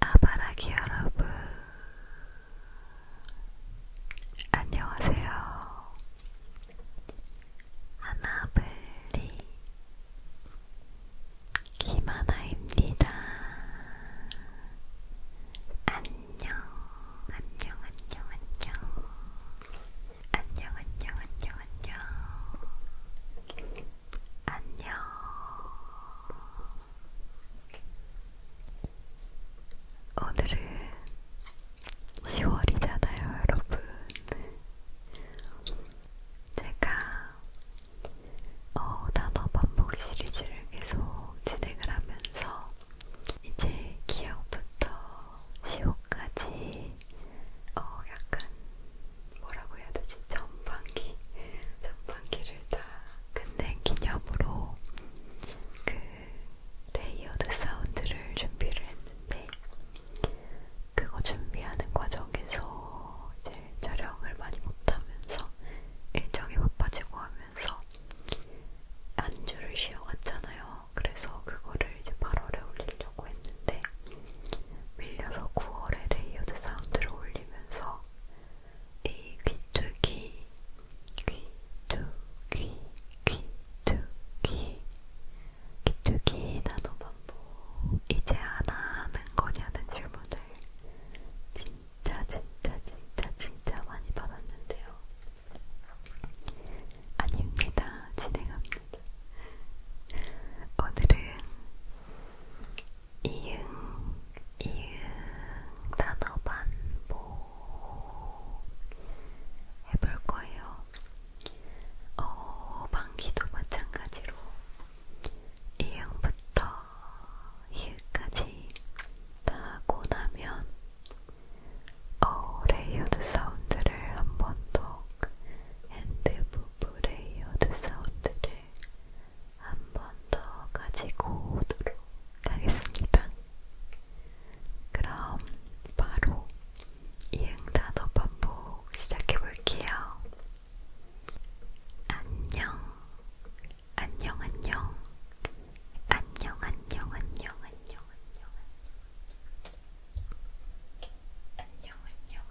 아바라기 여러분, 안녕하세요. 하나블리 김하나입니다. 안녕, 안녕, 안녕, 안녕. 안녕, 안녕, 안녕, 안녕. 안녕. 오늘은 10월이잖아요, 여러분. 제가 어, 단어 반복 시리즈를 계속 진행을 하면서 이제 기억부터 시호까지 어, 약간 뭐라고 해야 되지? 전반기, 전반기를 다 끝낸 기념으로 그 레이어드 사운드를 준비를 했는데 그거 준비하는 과정에서 이제 촬영을 많이 못하면서 일정이 바빠지고 하면서 안주를 쉬어갔잖아요. 그래서 그거를 이제 8월에 올리려고 했는데 밀려서 9월에 레이어드 사운드를 올리면서 이 귀뚜기, 귀뚜기, 귀뚜기, 귀뚜기 나노반보 이제 안 하는 거냐는 질문을 진짜 진짜 진짜 진짜 많이 받았는데요. 아닙니다. 진행합니다. 오늘은 이응 이응 단어 반복 해볼 거예요. 어, 방귀도 마찬가지로 이응부터 이응까지 나고 나면 어 레이어드 사운드를 한번더 핸드 부브 레이어드 사운드를 한번더 가지고 오도록 하겠습니다. 그럼 바로 이응단어 반복 시작해볼게요. 안녕, 안녕, 안녕, 안녕, 안녕, 안녕, 안녕, 안녕, 안녕, 안녕, 안녕, 안녕,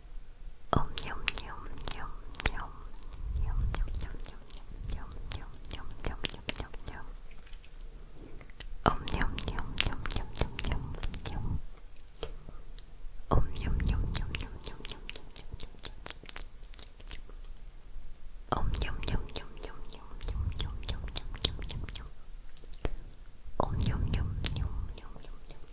Om yum yum yum yum yum yum yum yum yum yum yum yum yum Om yum yum yum yum yum yum yum Om yum yum yum yum yum yum Om yum yum yum yum yum yum yum yum yum yum yum Om yum yum yum yum yum yum yum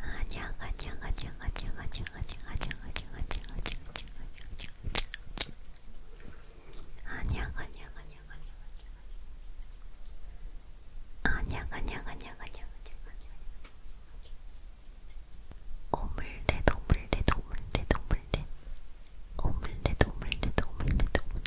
안녕 안녕 안녕 안녕 안녕 안녕 안녕 안녕 안녕 안녕 안녕 안녕 안녕 안녕 안녕 안녕 안녕 오물렛 오물렛 오물렛 오물렛 오물렛 오물렛 오물렛 오물렛